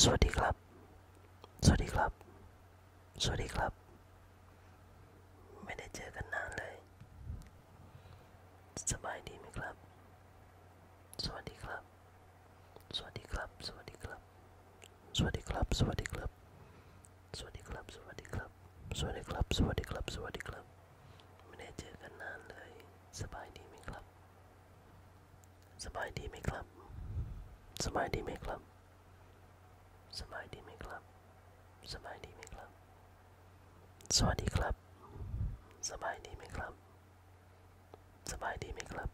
สวัสดีครับ สวัสดีครับ สวัสดีครับ ไม่ได้เจอกันนานเลย สบายดีไหมครับสวัสดีครับ สวัสดีครับ สวัสดีครับ สวัสดีครับ สวัสดีครับ สวัสดีครับสวัสดีครับสวัสดีครับสวัสดีครับ สวัสดีครับไม่ได้เจอกันนานเลยสบายดีไหมครับสบายดีไหมครับสบายดีไหมครับสบายดีไหมครับสบายดีไหมครับ สวัสดีครับ สบายดีไหมครับ สบายดีไหมครับ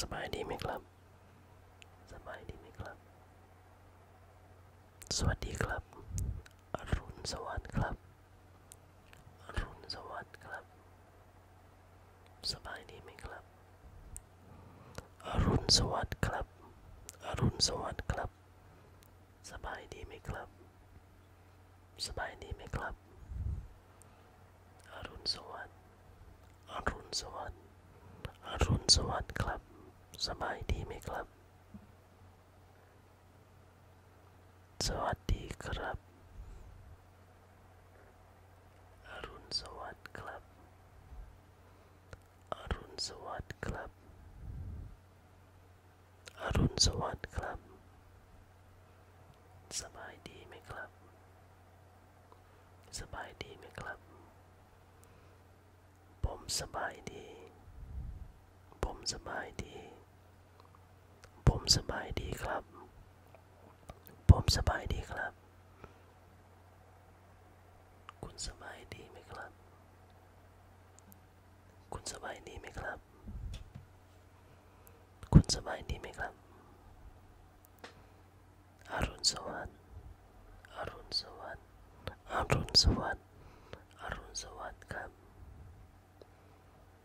สบายดีไหมครับสบายดีไหมครับ สวัสดีครับ อรุณสวัสดิ์ครับอรุณสวัสดิ์ครับสบายดีไหมครับ อรุณสวัสดิ์ครับ อรุณสวัสดิ์ครับ สบายดีไหมครับ สบายดีไหมครับ อรุณสวัสดิ์ อรุณสวัสดิ์ อรุณสวัสดิ์ครับ สบายดีไหมครับ สวัสดีครับอรุณสวัสดิ์ครับ อรุณสวัสดิ์ครับ อรุณสวัสดิ์ครับ สบายดีไหมครับ สบายดีไหมครับ ผมสบายดี ผมสบายดี ผมสบายดีครับผมสบายดีครับ คุณสบายดีไหมครับ คุณสบายดีไหมครับ คุณสบายดีไหมครับ อรุณสวัสดิ์ อรุณสวัสดิ์ อรุณสวัสดิ์ อรุณสวัสดิ์ครับ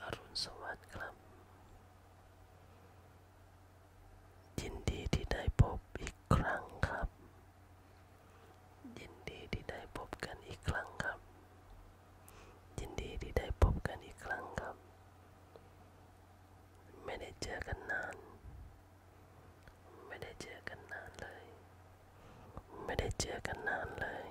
อรุณสวัสดิ์ครับยินดีที่ได้พบอีกครั้งครับ ยินดีที่ได้พบกันอีกครั้งครับยินดีที่ได้พบกันอีกครั้งครับ ไม่ได้เจอกันนาน ไม่ได้เจอกันนานเลย ไม่ได้เจอกันนานเลย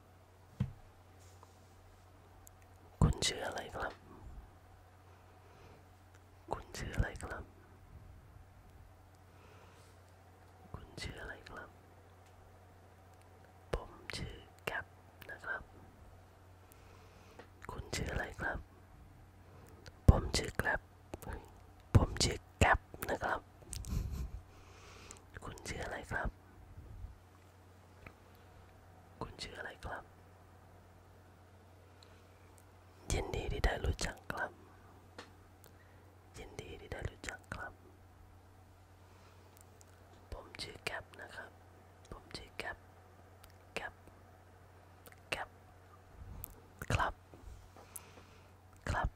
คุณชื่ออะไรครับ คุณชื่ออะไรครับ คุณชื่ออะไรครับ ผมชื่อแก๊ปนะครับ คุณชื่ออะไรครับ ผมชื่อแก๊ปผมชื่อแก๊ปนะครับ คุณชื่ออะไรครับคุณชื่ออะไรครับยินดีที่ได้รู้จักครับยินดีที่ได้รู้จักครับ ผมชื่อแก๊ปนะครับ ผมชื่อแก๊ปแก๊ปแก๊ปครับครับ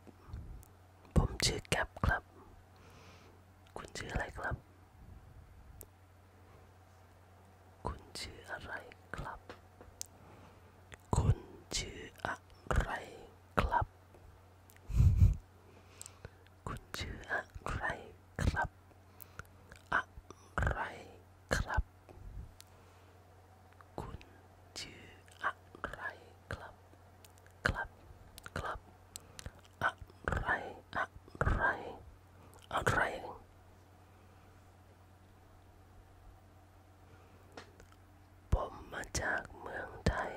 ผมชื่อแก๊ปครับ คุณชื่ออะไรครับคุณชื่ออะไรครับ คุณชื่ออะไรครับ คุณชื่ออะไรครับอะไรครับ คุณชื่ออะไรครับ ครับ ครับอะไรอะไรอะไร ผมมาจากเมืองไทย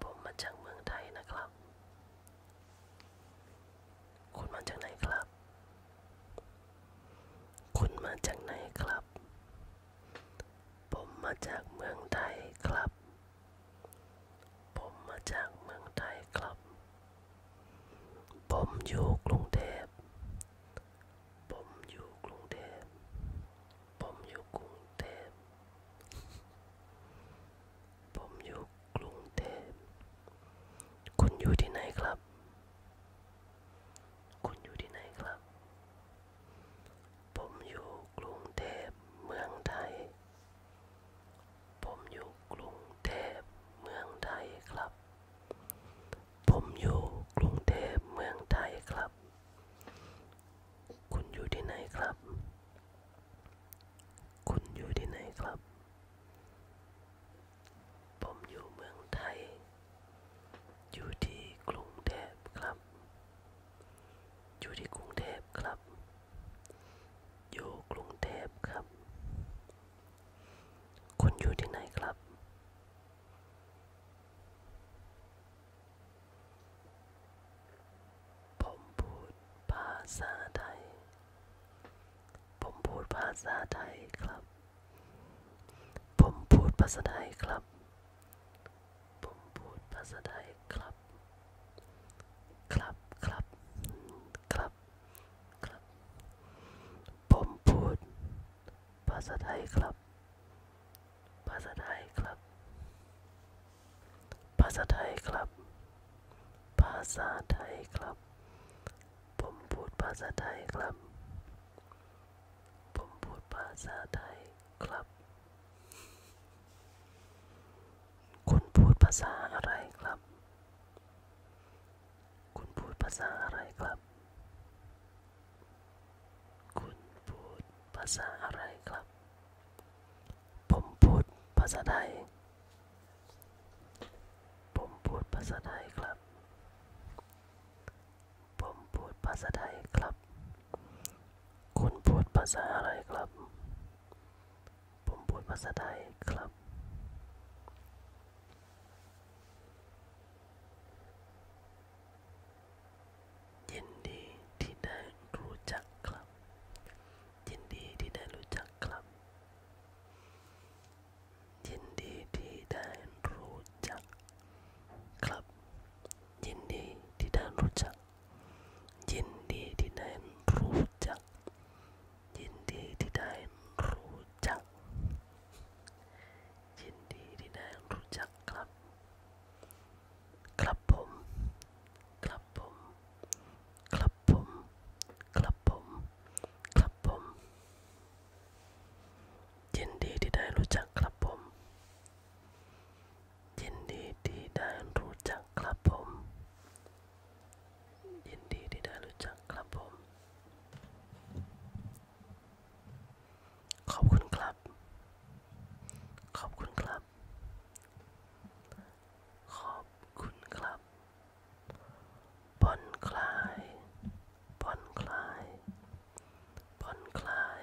ผมมาจากเมืองไทยนะครับ คุณมาจากไหนครับ คุณมาจากไหนครับ ผมมาจากเมืองไทยครับผมมาจากเมืองไทยครับ ผมอยู่กรุงเทพผมอยู่กรุงเทพผมอยู่กรุงเทพผมอยู่กรุงเทพคุณอยู่ที่ไหนครับ คุณอยู่ที่ไหนครับ ผมอยู่กรุงเทพเมืองไทยผมอยู่กรุงเทพเมืองไทยครับ ผมอยู่กรุงเทพเมืองไทยครับ คุณอยู่ที่ไหนครับ คุณอยู่ที่ไหนครับ ผมอยู่เมืองไทย อยู่ที่กรุงเทพครับ อยู่ที่กรุงเทพครับอยูุงเทพ ครับคุอยู่ที่ไหนครับ ผมพูดภาษาไทย ผมพูดภาษาไทยครับ ผมพูดภาษาไทยครับ ผมพูดภาษาไทยครับครับครับครับครับผมพูดภาษาไทยครับภาษาไทยครับภาษาไทยครับภาษาไทยครับผมพูดภาษาไทยครับผมพูดภาษาไทยครับคุณพูดภาษาอะไรครับ คุณพูดภาษาอะไรครับ คุณพูดภาษาอะไรครับ ผมพูดภาษาไทย ผมพูดภาษาไทยครับ ผมพูดภาษาไทยครับ คุณพูดภาษาอะไรครับผมพูดภาษาไทยครับ ยินดีที่ได้รู้จักครับ ยินดีที่ได้รู้จักครับ ยินดีที่ได้รู้จัก ครับ ยินดีที่ได้รู้จักยินดีที่ได้รู้จักยินดีที่ได้รู้จักยินดีที่ได้รู้จักครับครับผมครับผมครับผมครับผมครับผมยินดีที่ได้รู้จักครับผมยินดีที่ได้รู้จักครับผม ยินดีที่ได้รู้จักครับผม ขอบคุณครับ ขอบคุณครับ ขอบคุณครับผ่อนคลายผ่อนคลายผ่อนคลาย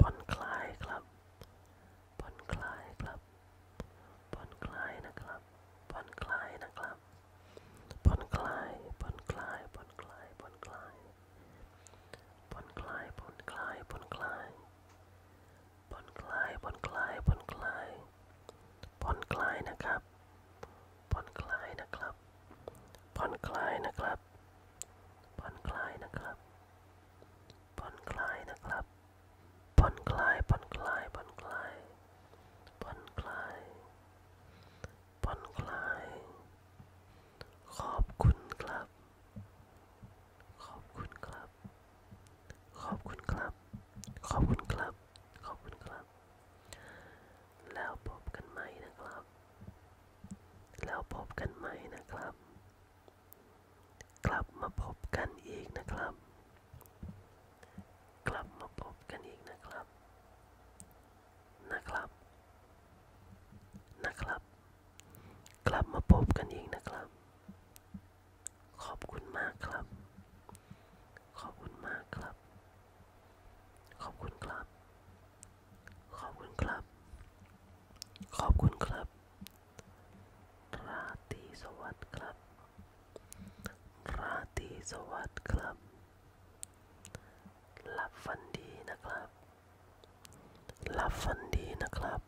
ผ่อนคลายครับผ่อนคลายครับผ่อนคลายนะครับผ่อนคลายนะครับผ่อนคลายผ่อนคลายผ่อนคลายผ่อนคลายผ่อนคลายผ่อนคลายผ่อนคลายผ่อนคลายผ่อนคลายผ่อนคลายผ่อนคลายนะครับผ่อนคลายนะครับผ่นคลายนะครับผ่นคลายนะครับผ่นคลายนะครับผ่นคลายผ่นคลายผ่นคลายผ่นคลายผ่นคลาย ขอบคุณครับ ขอบคุณครับ ขอบคุณครับ ขอบคุณครับขอบคุณครับ แล้วพบกันใหม่นะครับ แล้วพบกันใหม่นะครับ กลับมาพบกันอีกนะครับกลับมาพบกันอีกนะครับ นะครับนะครับกลับมาพบกันอีกนะครับ ขอบคุณมากครับขอบคุณมากครับ ขอบคุณครับ ขอบคุณครับ ขอบคุณครับ ราตรีสวัสดิ์ครับ ราตรีสวัสดิ์ครับหลับฝันดีนะครับหลับฝันดีนะครับ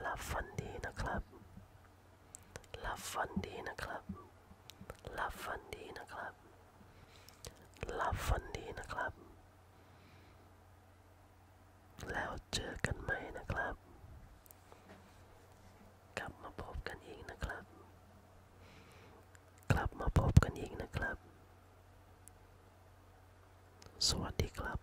หลับฝันดีนะครับหลับฝันดีนะครับหลับฝันดีนะครับหลับฝันดีนะครับ แล้วเจอกันไหมนะครับ กลับมาพบกันอีกนะครับ กลับมาพบกันอีกนะครับ สวัสดีครับ